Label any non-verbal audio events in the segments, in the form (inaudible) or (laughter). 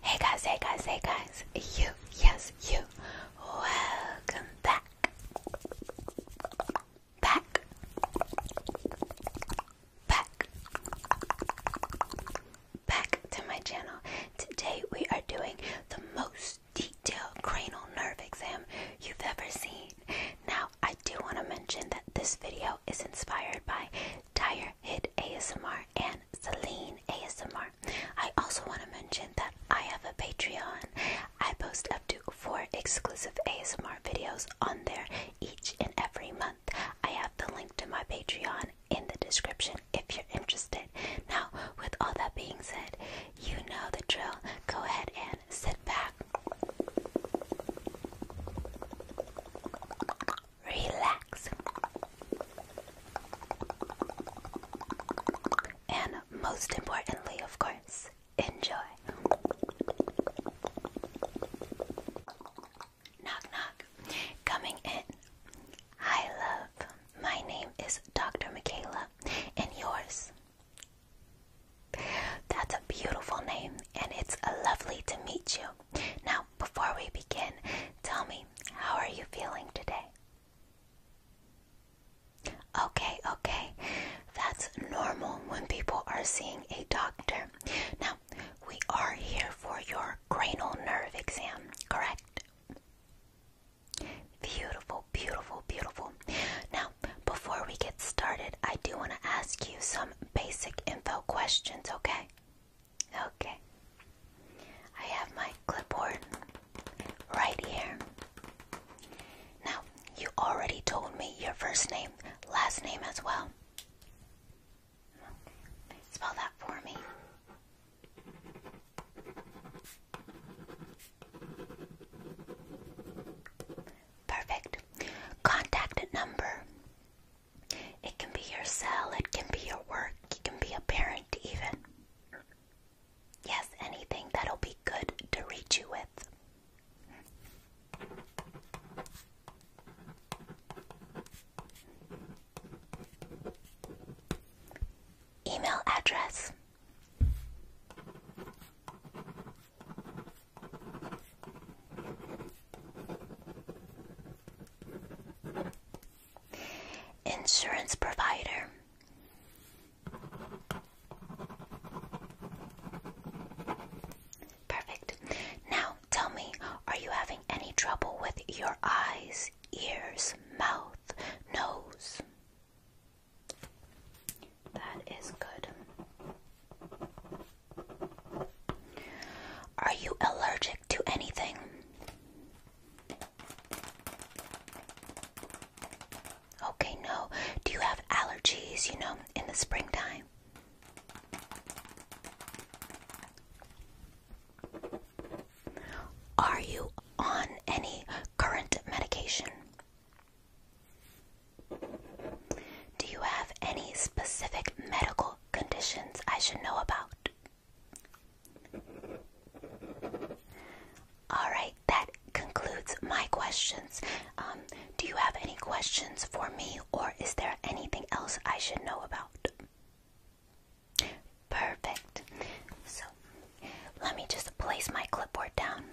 Hey guys, hey guys, hey guys, you, yes, you, welcome back, back, back, back to my channel. Today we are doing the most detailed cranial nerve exam you've ever seen. Now, I do want to mention that this video is inspired by Dire Hit ASMR, and Celine ASMR. I also want to mention that I have a Patreon. I post up to four exclusive ASMR videos on there each and every month. I have the link to my Patreon in the description if you're interested. Now, with all that being said, you know the drill. Go ahead and sit back relax, and most importantly, of course, enjoy. Knock, knock. Coming in. Hi, love. My name is Dr. Michaela, and yours. That's a beautiful name, and it's lovely to meet you. Now, before we begin, tell me, how are you feeling today? Okay, okay. That's normal when people are seeing a doctor. Now, we are here for your cranial nerve exam, correct? Beautiful, beautiful, beautiful. Now, before we get started, I do want to ask you some basic info questions, okay? Okay. I have my clipboard right here. Now, you already told me your first name, last name as well. Spell that for me. Perfect. Contact number. It can be your cell, it can be your work, it can be a parent, even. Yes, anything that'll be good to reach you with. Email address. Insurance provider. Perfect. Now tell me, are you having any trouble with your eyes, ears, mouth, nose? That is good. Are you allergic to anything? Okay, no. Do you have allergies, you know, in the springtime? Are you on any current medication? Do you have any specific medical conditions I should know about. All right, that concludes my questions. Um, do you have any questions for me, or is there anything else I should know about? Perfect. So, let me just place my clipboard down.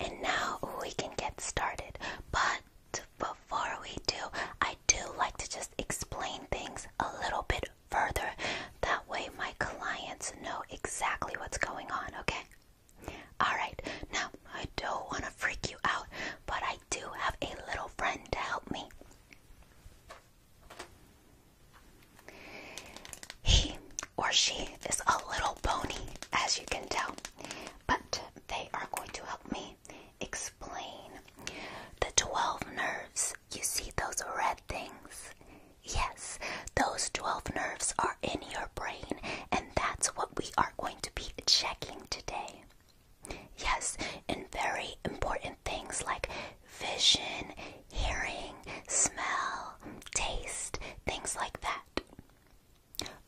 And now we can get started. But before we do, I do like to just explain things a little bit further. That way, my clients know exactly what's going on, okay? Alright, now I don't want to freak you out, but I do have a little friend to help me. He or she is a little bony, as you can tell, but they are going to help me explain the 12 nerves. You see those red things? Yes, those 12 nerves are in your brain, and that's what we are going to be checking today. Yes, and very important things like vision, hearing, smell, taste, things like that.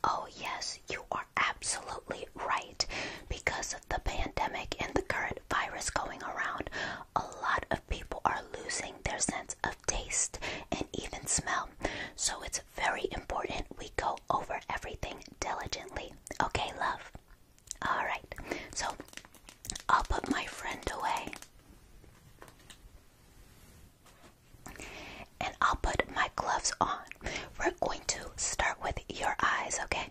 Oh, yes, you are absolutely right. Because of the pandemic and the current virus going around, a lot of people are losing their sense of taste and even smell. So it's very important we go over everything diligently. Okay, love? Alright, so I'll put my friend away. And I'll put my gloves on. We're going to start with your eyes, okay?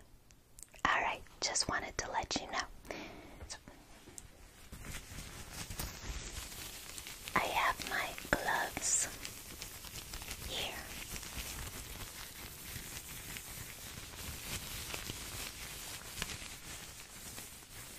Alright, just wanted to let you know. I have my gloves here.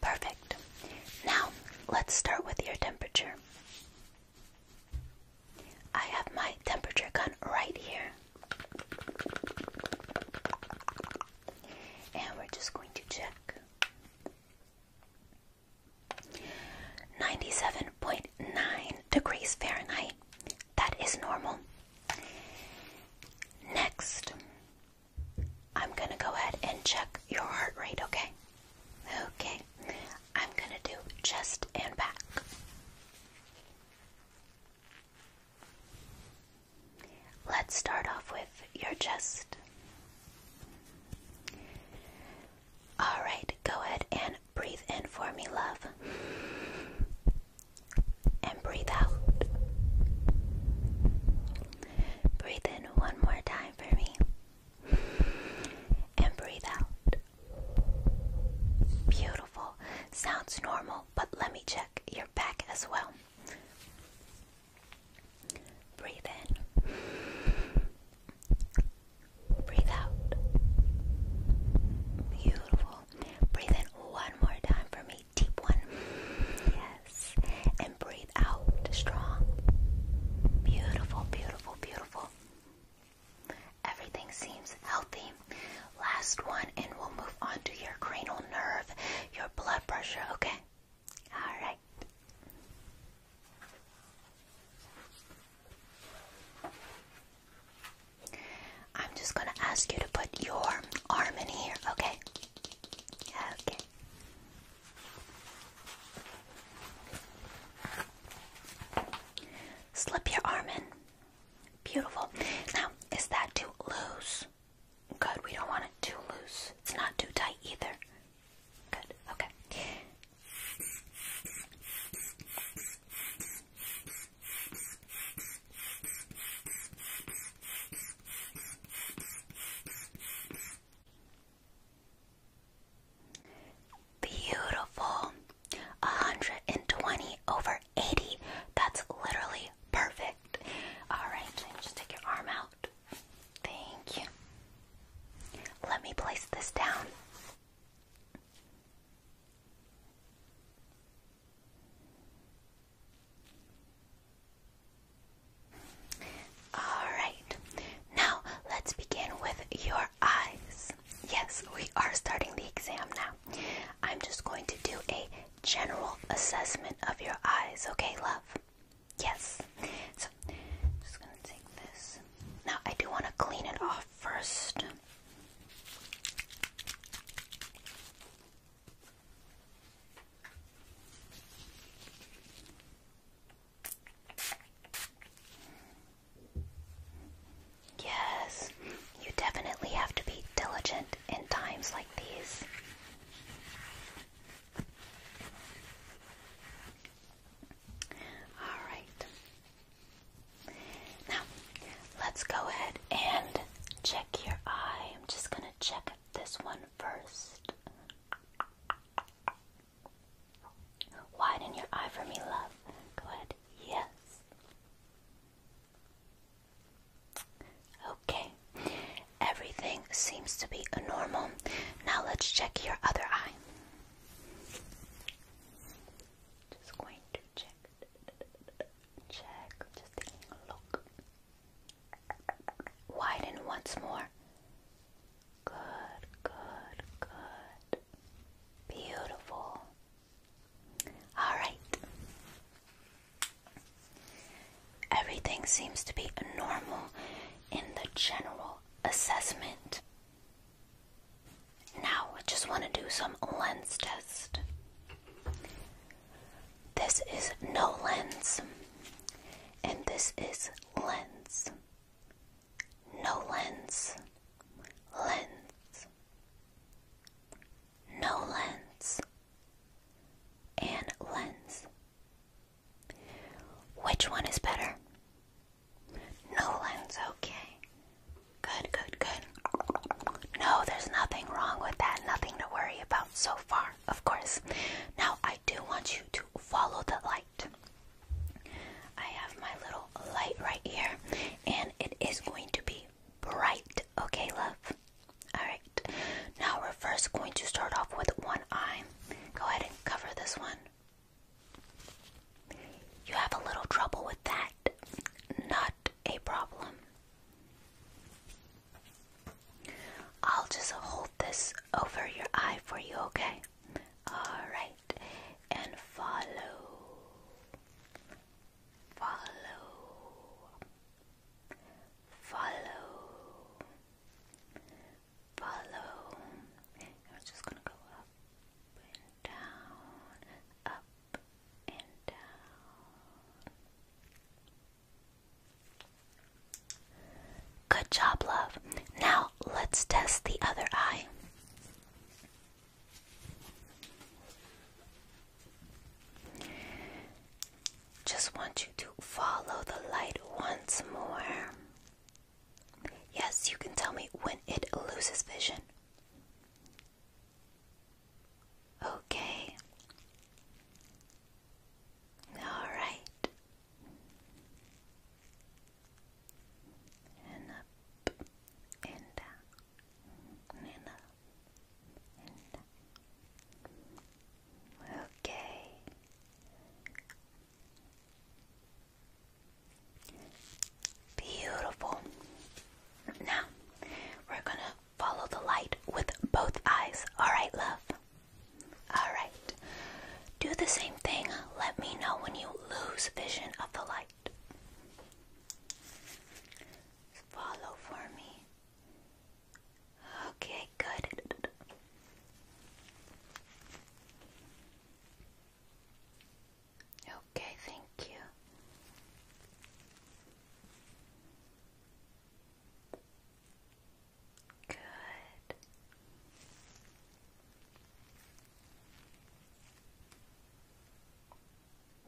Perfect. Now, let's start with your temperature. I have my temperature gun right here. And we're just going to check. 97.9 degrees Fahrenheit. That is normal. Next, I'm gonna go ahead and check your heart rate, okay? Okay, I'm gonna do chest and back. Let's start off with your chest. Alright, go ahead and breathe in for me, love and breathe out. Breathe in one more time for me and breathe out. Beautiful. Sounds normal, but let me check your back as well. Breathe in. Breathe out. Beautiful. Breathe in one more time for me deep one. Yes. And breathe out strong. Beautiful, beautiful, beautiful. Everything seems healthy. Last one, and we'll move on to your cranial nerve, your blood pressure, okay? All right. I'm just going to ask you to put your arm in here, okay? Okay. Slip your arm in. Beautiful. Now, is that too loose? Good. We don't want it too loose. It's not too tight either. Good. Okay. Beautiful. 120 over 80. That's literally perfect. Alright, just take your arm out. Thank you. Let me place this down. Alright, now let's begin with your eyes. Yes, we are starting the exam now. I'm just going to do a general assessment of your eyes, okay, love? Yes. So, just gonna take this. Now, I do want to clean it off first. Yes, you definitely have to be diligent in times like these. All right. Now, let's go ahead and check your eye. I'm just going to check this one first. Widen your eye for me, love. Go ahead. Yes. Okay. Everything seems to be normal. Now let's check your other eye. Just going to check. Check. Just taking a look. Widen once more. Good, good, good. Beautiful. All right. Everything seems to be normal in the general assessment. Now, I just want to do some lens test. This is no lens, and this is lens. No lens, lens. No lens, and lens. Which one is better? No lens, okay. Good, good, good. No, there's nothing wrong with that. Nothing to worry about so far of course. Now, I do want you to follow the light. I have my little light right here, and it is going to be bright, okay, love? Alright, now we're first going to start off with one eye. Go ahead and cover this one. You have a little trouble with that? Not a problem. I'll just hold this over your eye for you, okay? Alright, and follow, follow, follow, follow. we're just gonna go up and down, up and down. Good job, love. Now let's test the other eye. Just want you to follow the light once more. Yes, you can tell me when it loses vision. Okay. All right. And up and down and up and down. Okay. Beautiful. Now we're gonna Follow the light with both eyes. Alright, love? Alright. Do the same thing. Let me know when you lose vision of the light. Follow for me. Okay, good. Okay, thank you. Good.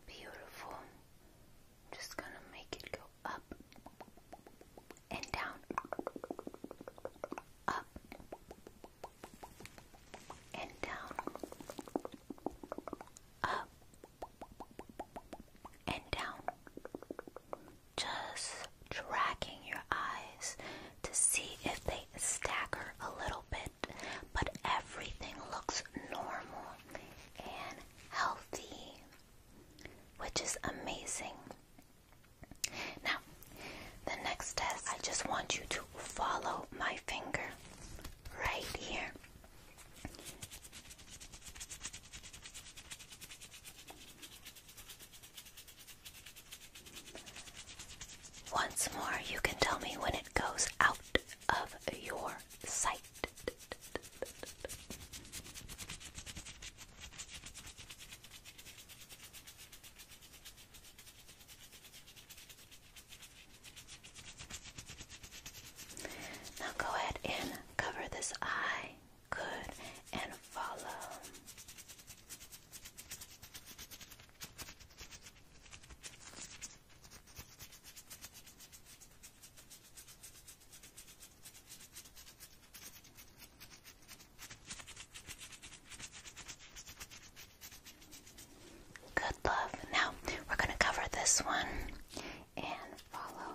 Beautiful. Just going to make it go up and down. Up and down. Up and down. Just tracking your eyes to see if they stagger a little bit, but everything looks normal and healthy, which is amazing. Now, the next test, I just want you to follow my finger right here. Once more, you can tell me when it goes out of your sight. Now go ahead and Cover this eye. Good. And follow. Good love. Now we're going to cover this one and follow.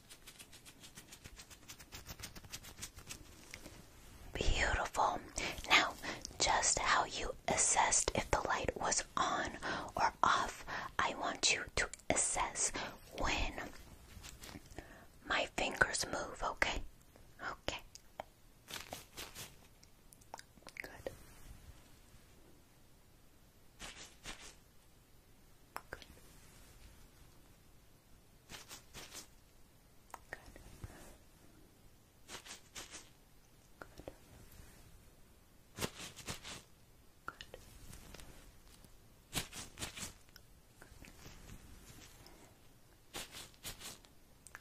Beautiful. Now, just how you assessed if the light was on or off, I want you to assess when my fingers move, okay? Okay. Good. Good. Good. Good.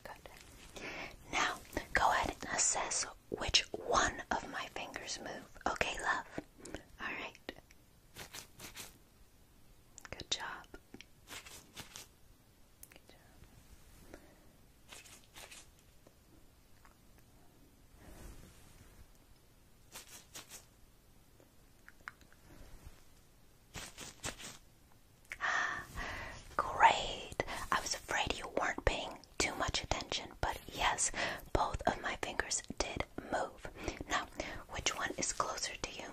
Good. Good. Now, go ahead and assess which one of my fingers move. Okay, love. All right. Good job. (gasps) Great! I was afraid you weren't paying too much attention, but yes, both of my fingers did move. Now, which one is closer to you?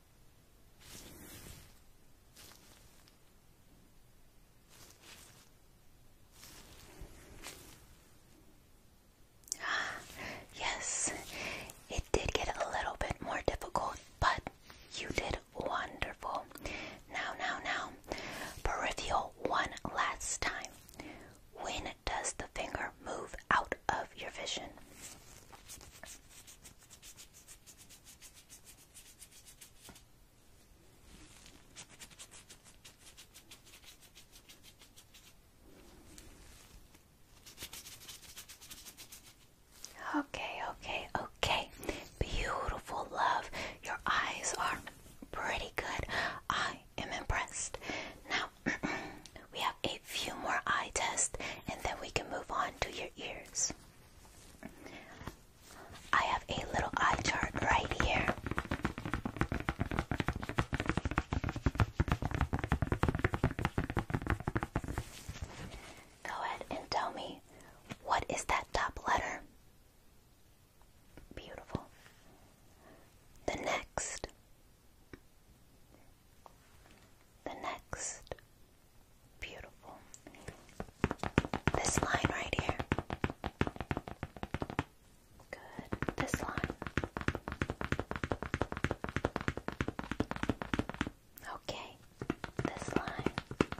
Ah, (gasps) yes, it did get a little bit more difficult, but you did wonderful. Now, now, now, peripheral one last time. When does the finger move out of your vision? Okay, okay, okay. Beautiful love. Your eyes are pretty good. I am impressed. Now, (clears throat) we have a few more eye tests and then we can move on to your ears. I have a little eye chart right here. Go ahead and tell me what is that top letter? Beautiful. The next. The next. Beautiful. This line right here. Good. This line. Okay. This line. Good.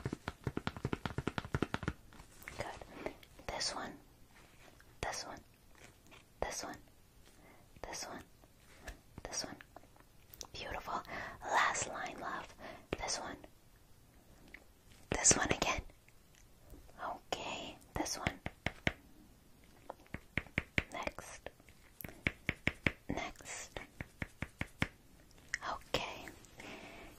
This one. This one. This one. This one. This one. Beautiful. Last line, love. This one. This one again. Okay, this one. Next. Next. Okay.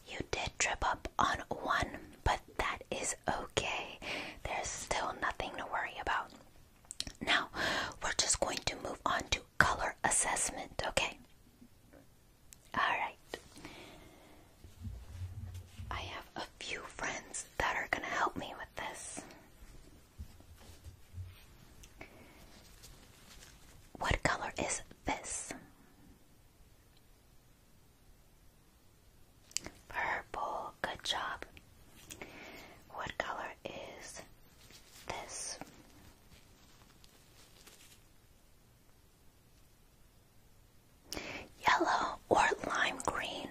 You did trip up on one, but that is okay. There's still nothing to worry about. Now, we're just going to move on to color assessment, okay? Alright. I have a few friends that are going to help me with this. What color is this? Purple, good job. What color is this? Yellow or lime green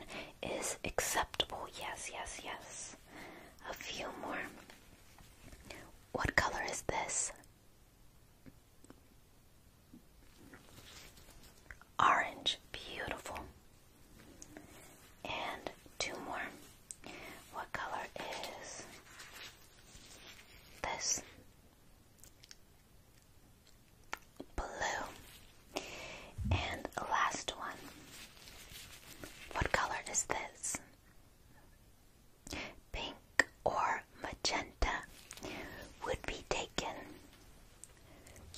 is acceptable. Yes, yes, yes. A few more. What color is this? Orange. Beautiful. And two more. What color is this? Blue. And last one. What color is this? Pink or magenta would be taken.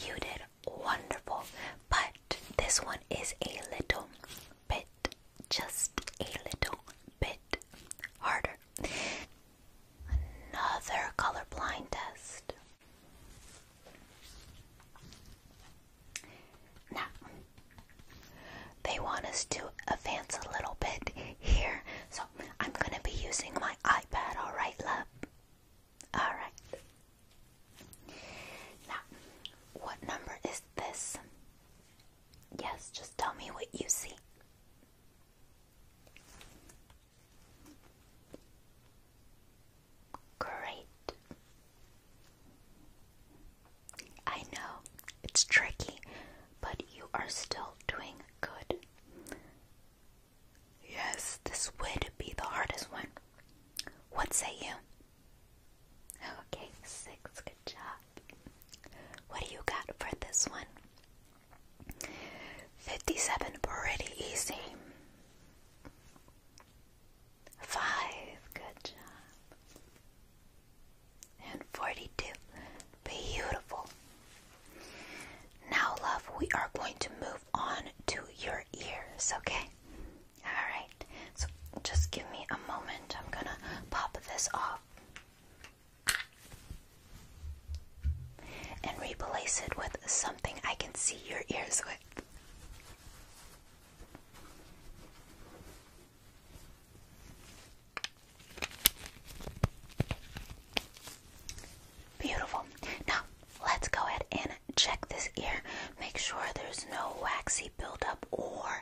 You did wonderful, but this one is a little bit, just a little bit harder. Another colorblind test. Now, they want us to advance a little bit here, so I'm gonna be using my iPad, alright, love? Alright. Now, what number is this? Yes, just tell me what you see. Great. I know it's tricky, but you are still doing good. Yes, this would be the hardest one. What say you? Okay, six. Good job. What do you got for this one? 57. Pretty easy. Five. Good job. And 42. Beautiful. Now, love, we are going to move on to your ears, okay? Alright, so just give me a moment. I'm gonna pop this off and replace it with something I can see your ears with. Beautiful. Now, let's go ahead and check this ear. Make sure there's no waxy buildup or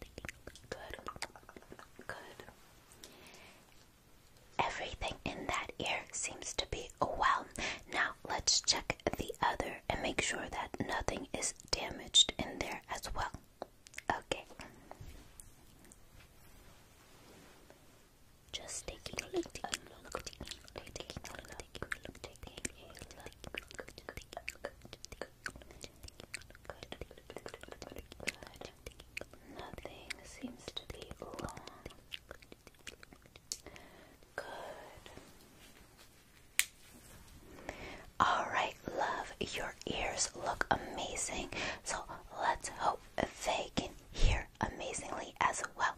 Good. Good. Everything in that ear seems to be well. Now let's check the other and make sure that nothing is damaged in there as well. Okay. Just taking a look, Good. Nothing seems to be wrong. Good. Alright, love, your ears look amazing. So let's hope they can hear amazingly as well.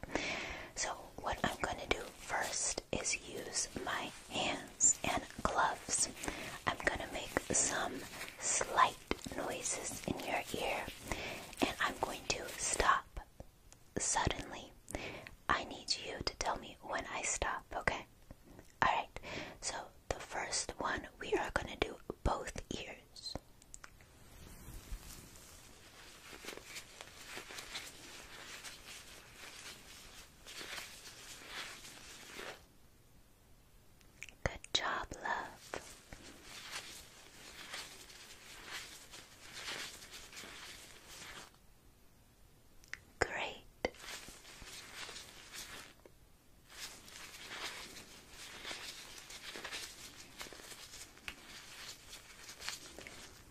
So, what I'm going to do first is use my hands and gloves. I'm going to make some slight noises in your ear and I'm going to stop suddenly. I need you to tell me when I stop, okay? Alright, so the first one we are going to do both ears. Good job, love. Great.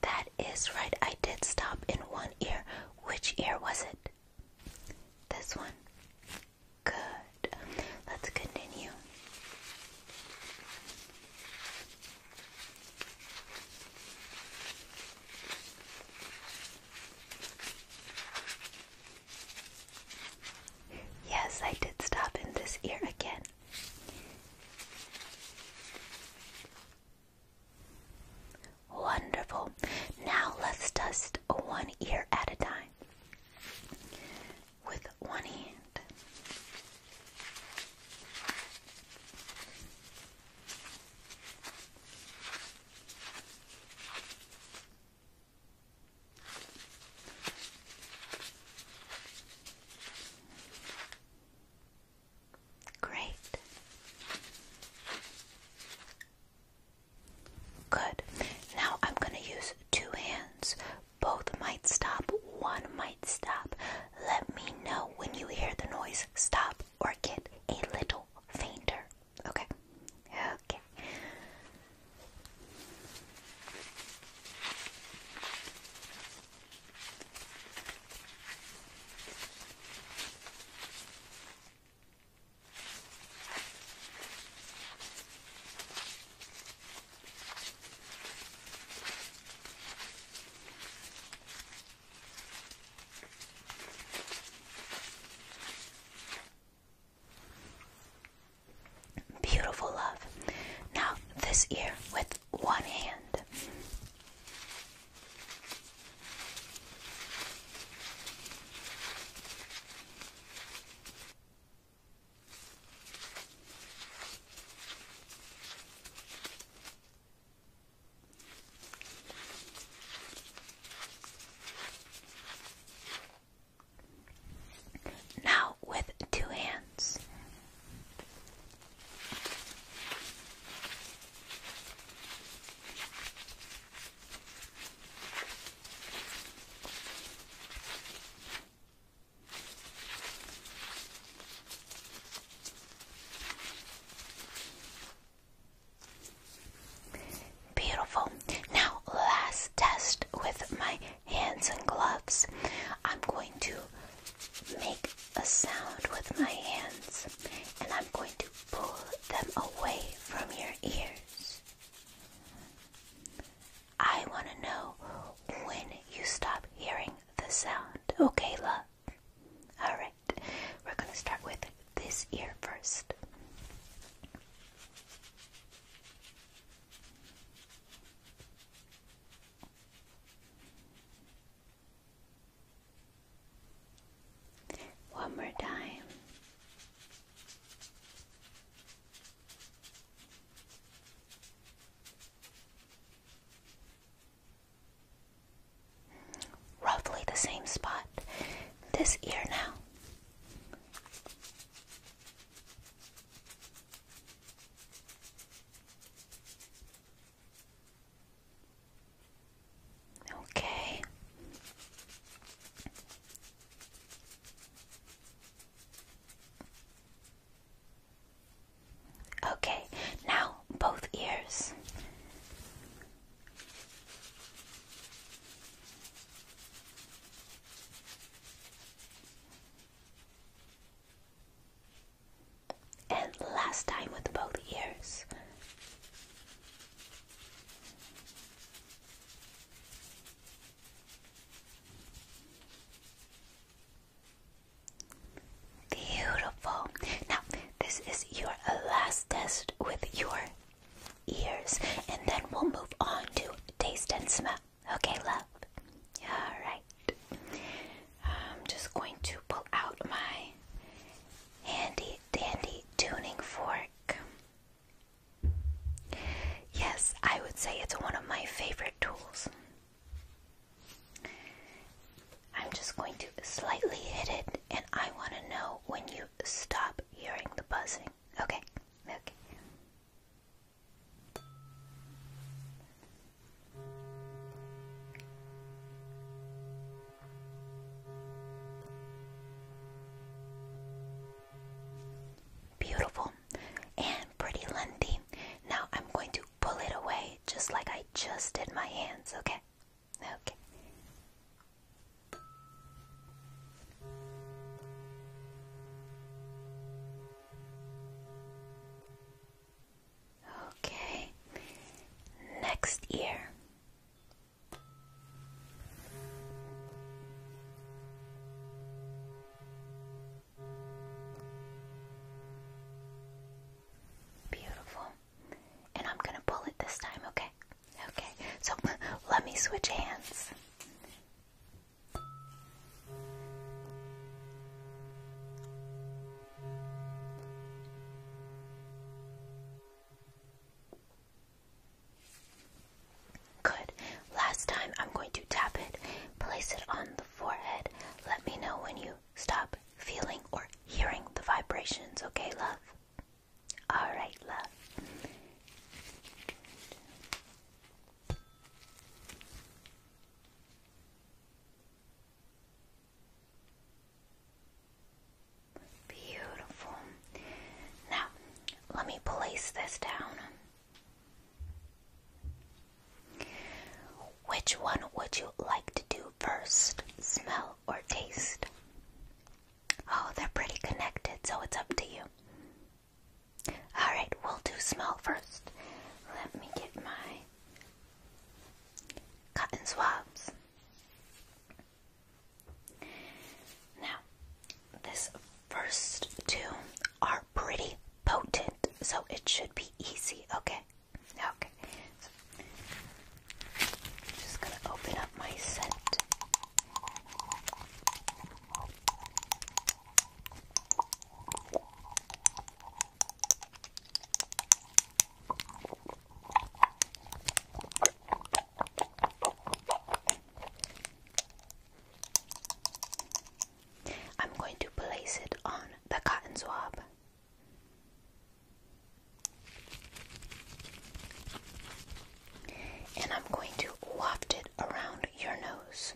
That is right. I did stop in one ear. Which ear was it? This one? Good. Let's continue. Yes, I did stop in this ear again. Wonderful. Now let's dust one ear at a time with one hand. Great. Good. Now I'm going to use two hands. Both might stop, one might stop. Let me know when you hear the noise stop or get a little fainter. Okay? Okay. Beautiful love. Now, this ear with one hand. Now with two hands. Beautiful. Now, last test with my hands and gloves. I'm going to make a sound with my hands and I'm going to pull them away from your ears. I want to know when you stop hearing the sound. Okay, love? Alright, we're going to start with this ear first. One more time. Roughly the same spot. This ear now. Okay. Okay, now both ears. And last time with both ears. Beautiful. Now, this is your last test with your ears, and then we'll move on to taste and smell. Okay, love? Alright. I'm just going to pull out my handy dandy tuning fork Yes, I would say it's one of my favorite tools. I'm just going to slightly hit it, and I want to know when you stop hearing the buzzing. Okay, Beautiful and pretty lengthy. Now I'm going to pull it away just like I just did my hands, okay? Okay. Okay. Next ear. Beautiful. And I'm going to pull it this time, okay? Okay. So (laughs) let me switch hands. Good. Last time I'm going to tap it, place it on the forehead. Let me know when you stop feeling or hearing the vibrations, okay, love? Alright, love. Beautiful. Now, let me place this down. Which one would you like to do first? Smell or taste? Oh, they're pretty connected, so it's up to you. Alright, we'll do smell first. Let me get my cotton swabs. Now, this first two are pretty potent, so it should be easy, okay? Okay. just gonna open up my scent. I'm going to place it on the cotton swab. And I'm going to waft it around your nose.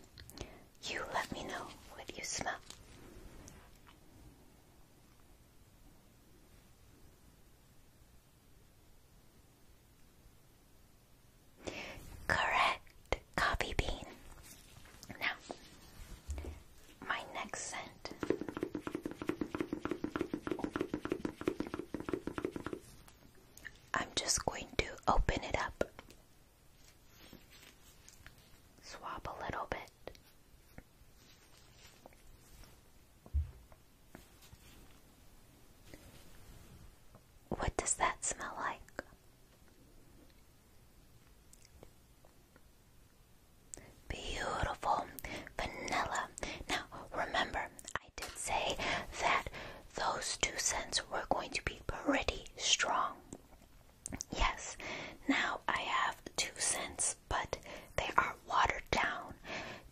You let me know what you smell. Correct, coffee bean. Now, my next scent I'm just going to open it up, swap a little bit. What does that smell like? Beautiful vanilla. Now, remember, I did say that those two scents were going to be pretty strong. Yes, now I have two scents, but they are watered down.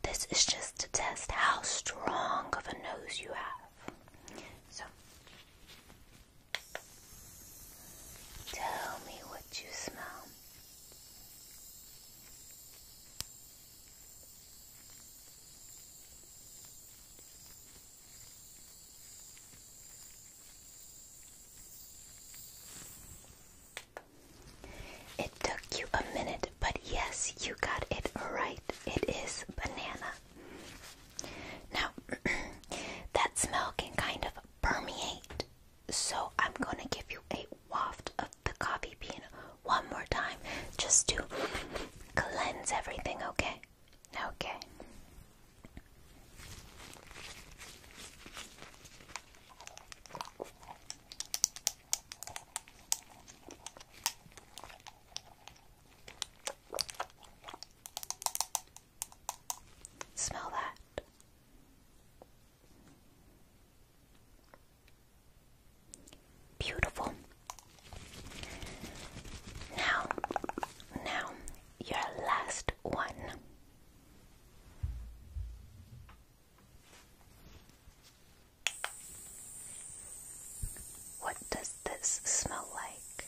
This is just to test how strong of a nose you have. So, tell me what you smell. It took you a minute, but yes, you got it right. It is banana. Now, (clears throat) that smell can kind of permeate, so I'm going to give you a waft of the coffee bean one more time just to cleanse everything, okay? Okay. Smell that. Beautiful. Now, now, your last one. What does this smell like?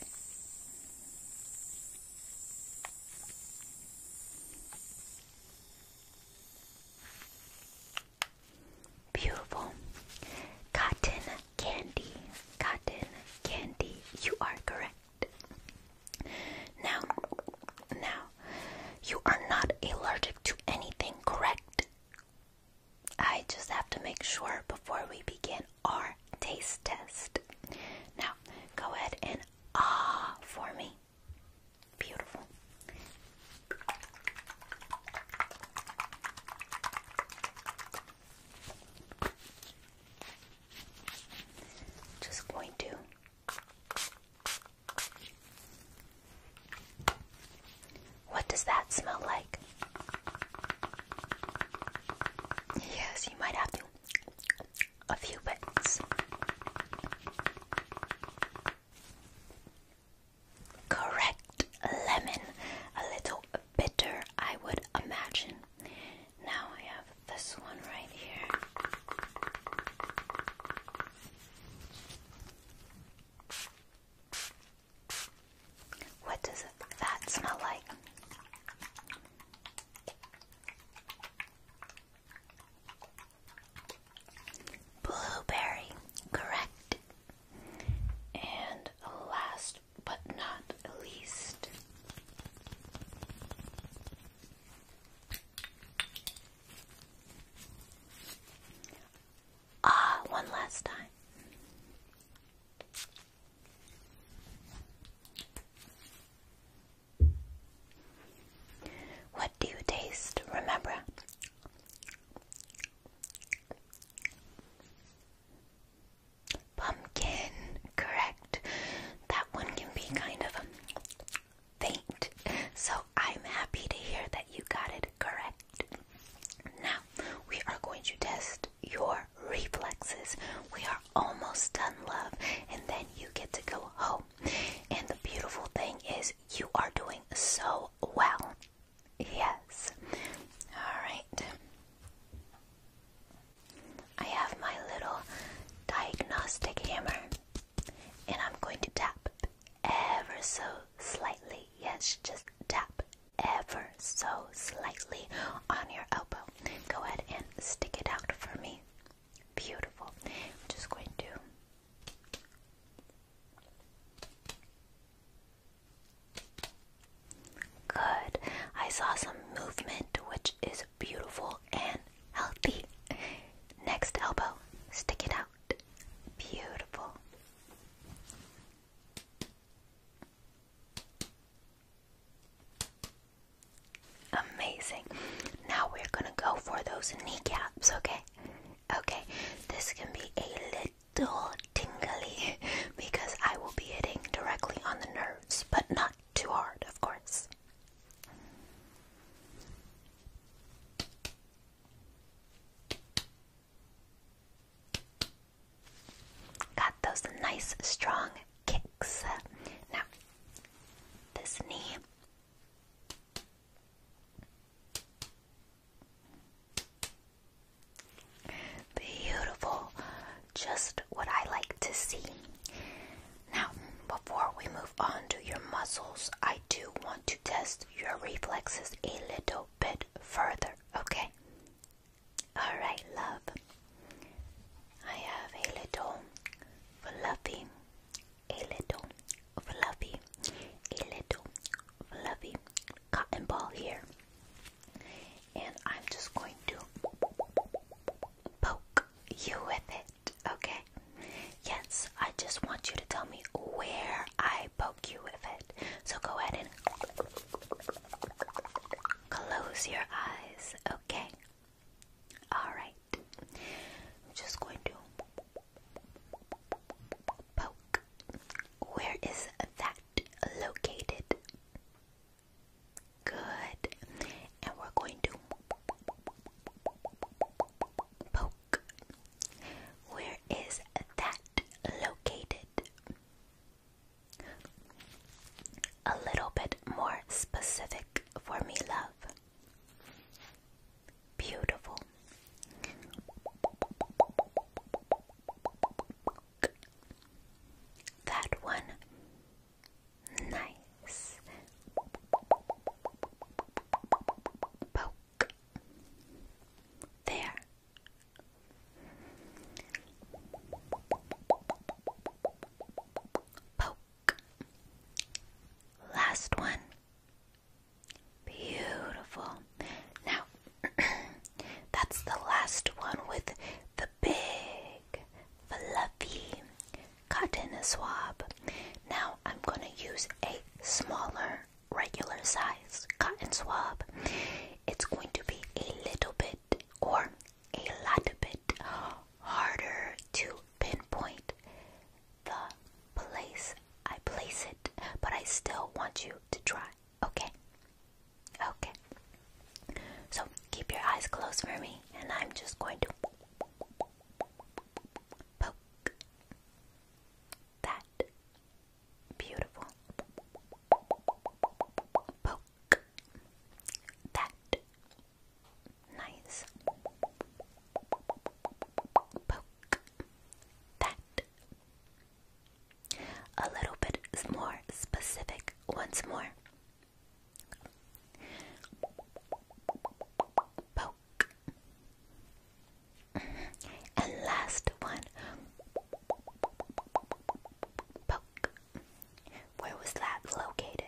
Beautiful. Cotton candy. Cotton candy. You are correct. Now, now, you are not allergic to anything, correct? I just have to make sure before we begin our taste test. Now, go ahead and ah for me. Beautiful. Just going to what does that smell like? Yes, you might have a few bits. Correct lemon, a little bitter, I would imagine. Now I have this one right here. What does that smell like? Blueberry, correct. And last but not least, Ah, one last time. What do you taste? Remember? Pumpkin, correct. That one can be kind of faint. So I'm happy to hear that you got it correct. Now we are going to test your reflexes. We are almost done, love, and then you get to go home. And the beautiful thing is, you are doing so well. Yes. All right. I have my little diagnostic hammer. And I'm going to tap ever so slightly. Yes, just tap ever so slightly on your elbow. Go ahead and stick it out for me. Beautiful. i just going to. Good. I saw some movement, which is beautiful and healthy. Next elbow, stick it out. Beautiful. Amazing. Now we're gonna go for those knee kneecaps, okay? Okay, this can be a little tingly (laughs) because I will be hitting directly on the nerves, but not too hard, of course. Got those nice strong kicks. Now, this knee. Beautiful, just what I like to see. Now, before we move on to your muscles, I do want to test your reflexes a little bit further, okay? Alright, love. I have a little fluffy, a little fluffy, a little fluffy cotton ball here. And I'm just going to poke you with it okay? Yes, I just want you to tell me where I poke you with it. So go ahead and close your eyes, okay? Alright. I'm just going to poke. Where is that located? Good. And we're going to Poke. Where is that located? A little bit more specific for me, love. Beautiful. That one Nice. Poke. There. Poke. Last one. Beautiful. Now, (clears throat) that's the last one with the big, fluffy, cut in a swab. Now I'm going to use a smaller, regular size cotton swab. It's going to be a little bit or a lot bit harder to pinpoint the place I place it, but I still want you to try, okay? Okay. So keep your eyes closed for me, and I'm just going to poke that beautiful poke that nice poke that a little bit more specific once more and last one. Poke. Where was that located?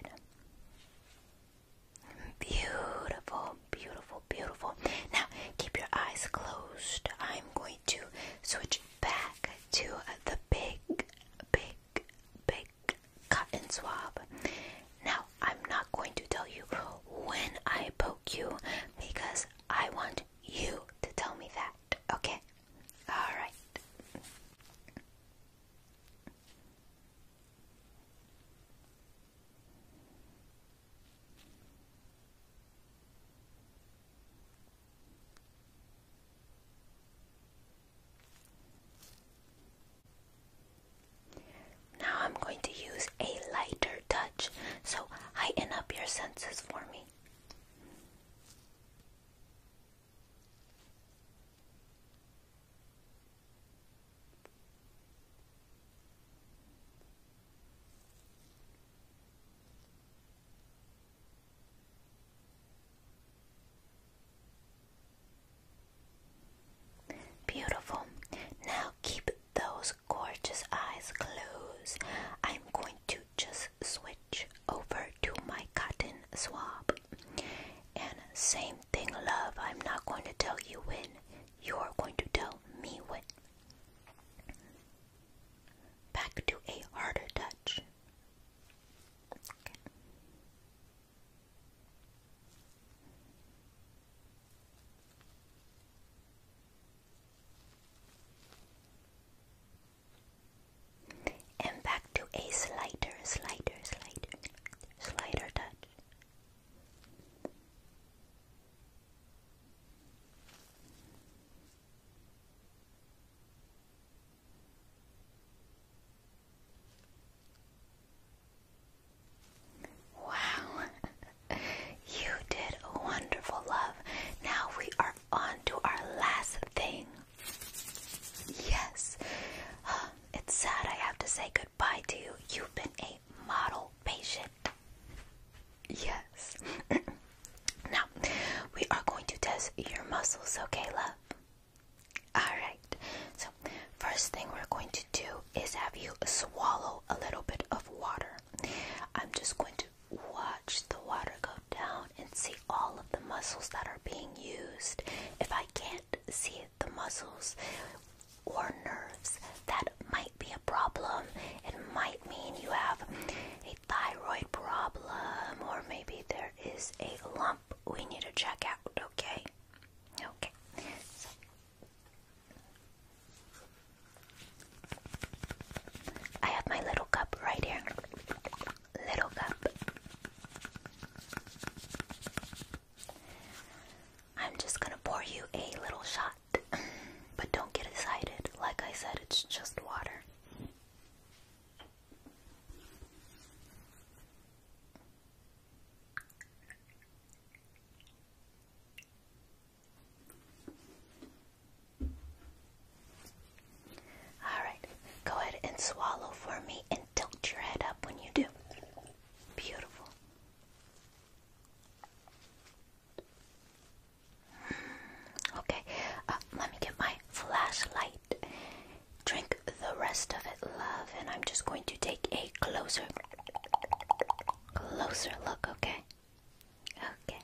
Beautiful, beautiful, beautiful. Now, keep your eyes closed. I'm going to switch back to the big, big, big like cotton swab. Now, I'm not going to tell you when I poke you because I want you to tell me that, okay? Alright. Now I'm going to use a lighter touch, so heighten up your senses for me. Beautiful. Now keep those gorgeous eyes closed. I'm going to just switch over to my cotton swab. And same thing, love. I'm not going to tell you when. You're going to tell me when. Back to a harder touch. Okay. And back to a slider, slider, slider, slider touch. Wow, (laughs) you did wonderful love. Now we are on to our last thing. Yes, um, it's sad I have to say goodbye to you. You've been a model patient. Yes. (clears throat) now, we are going to test your muscles, okay, love? Alright, so first thing we're going to do is have you swallow a little bit of water. I'm just going to watch the water go down and see all of the muscles that are being used. If I can't see the muscles or nerves, that might be a problem. It might mean you have a thyroid problem, or maybe there is a lump we need to check out, okay? Okay. So I have my little cup right here. Little cup. I'm just gonna pour you a little shot, but don't get excited. Like I said, it's just water. All right, go ahead and swallow for me and tilt your head up when you do. Beautiful. Okay, uh, let me get my flashlight drink the rest of it, love, and I'm just going to take a closer, closer look, okay? Okay.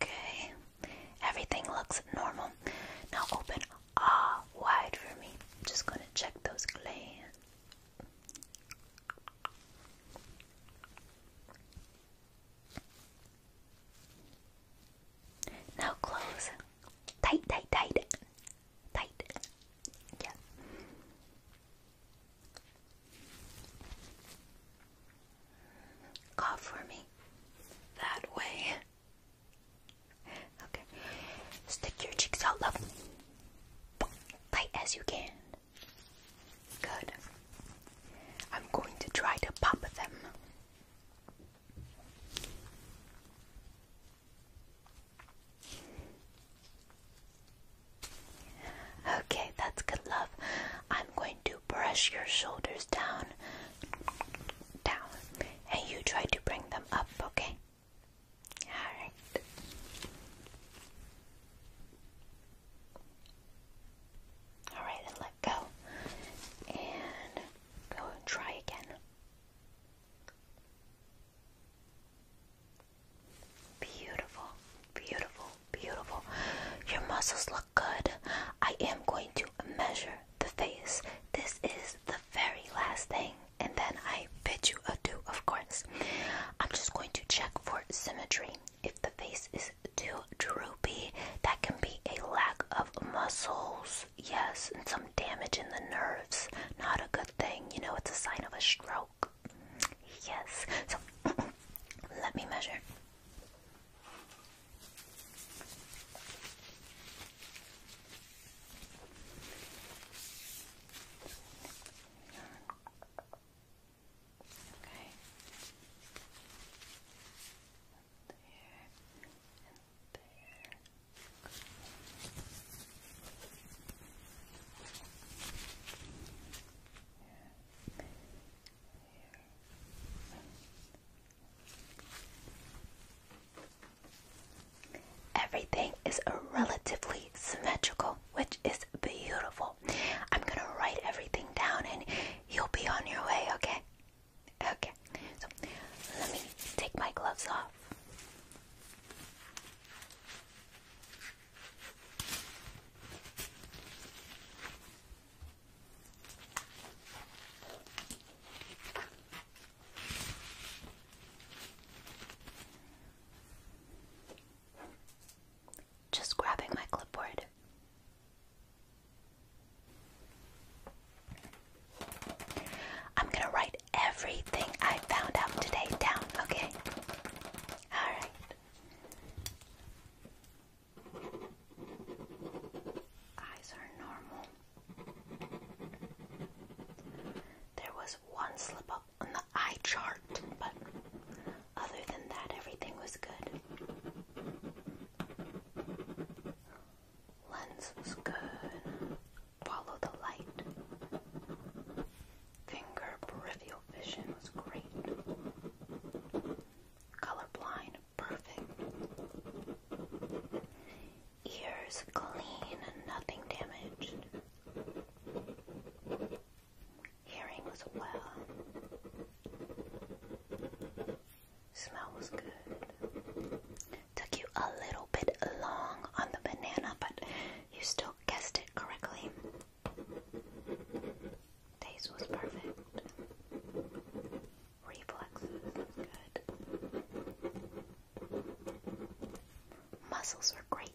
Okay, everything looks normal. Now open ah wide for me. I'm just gonna check those glands. Now close. Tight, tight, tight. Tight. Yeah. Cough for me. That way. Okay. Stick your cheeks out, love. Tight as you can. Good. I'm going to try to pop them. Okay, that's good, love. I'm going to brush your shoulders down, down, and you try to bring them up, okay? Alright, then let go. And go and try again. Beautiful, beautiful, beautiful. Your muscles look good. I am going to measure the face. This is the very last thing, and then I bid you adieu, of course. I'm just going to check for symmetry. If the face is too droopy, that can be a lack of muscles, yes, and some damage in the nerves. Not a good thing, you know, it's a sign of a stroke. Yes, so (clears throat) let me measure. Okay. there and there. Here. Here. Everything is relatively symmetrical which is beautiful. I'm gonna write everything down and you'll be on your way, okay? Okay, so let me take my gloves off just grabbing my clipboard. I'm gonna write everything I found out today down, okay? Alright. Eyes are normal. There was one slip up on the eye chart, but other than that, everything was good. Lens was good. Follow the light. Finger peripheral vision was great. Color blind, perfect. Ears clean and nothing damaged. Hearing was well. Smell was good. Took you a little bit long on the banana, but you still guessed it correctly. Taste was perfect. Reflexes good. Muscles were great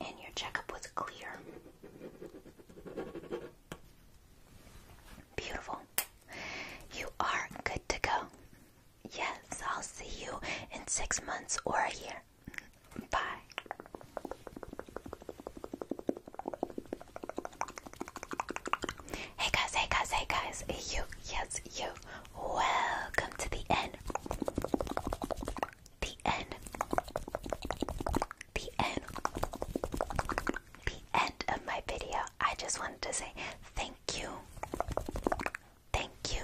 and your checkup was clear. Beautiful. You are good to go. Yes, I'll see you in six months or a year. Bye. Hey guys, hey guys, hey guys. You, yes, you. Welcome to the end the end, the end, the end of my video. I just wanted to say thank you, thank you,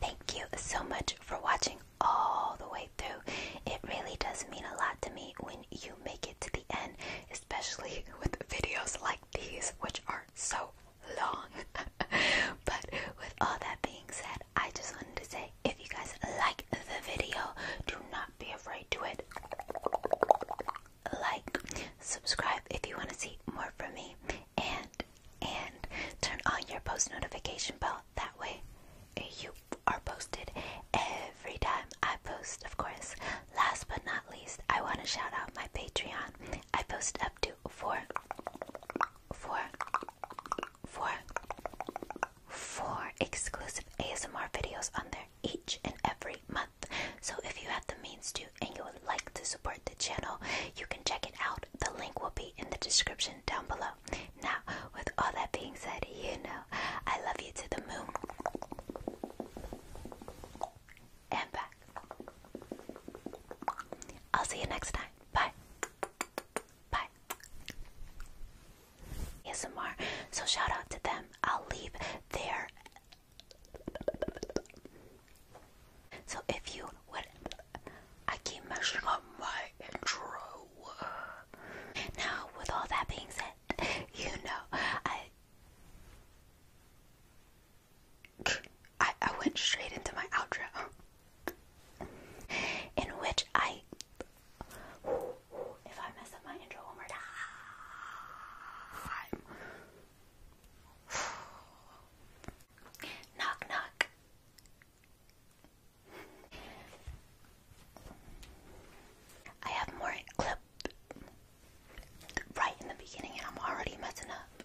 thank you so much for watching all the way through. It really does mean a lot to me when you make it to the end, especially (laughs) with videos like these, which are so long. (laughs) but with all that being said, I just wanted to say if you guys like the video, do not be afraid to it. Like, subscribe if you want to see more from me, and and turn on your post notification bell. That way, you are posted every time I post, of course. Last but not least, I want to shout out my Patreon I post up to four, four, four, four exclusive ASMR videos on there each and every month. So if you have the means to and you would like to support the channel, you can check it out. The link will be in the description down below. Now, with all that being said, you know I love you to the moon and back. I'll see you next time. Bye. Bye. ASMR. So shout out to them. I'll leave their. So if you would, I keep messing up my intro. Now, with all that being said, you know I. I, I went straight into my outro. In which I. If I mess up my intro one more time. knock, knock. I have more clip right in the beginning, and I'm already messing up.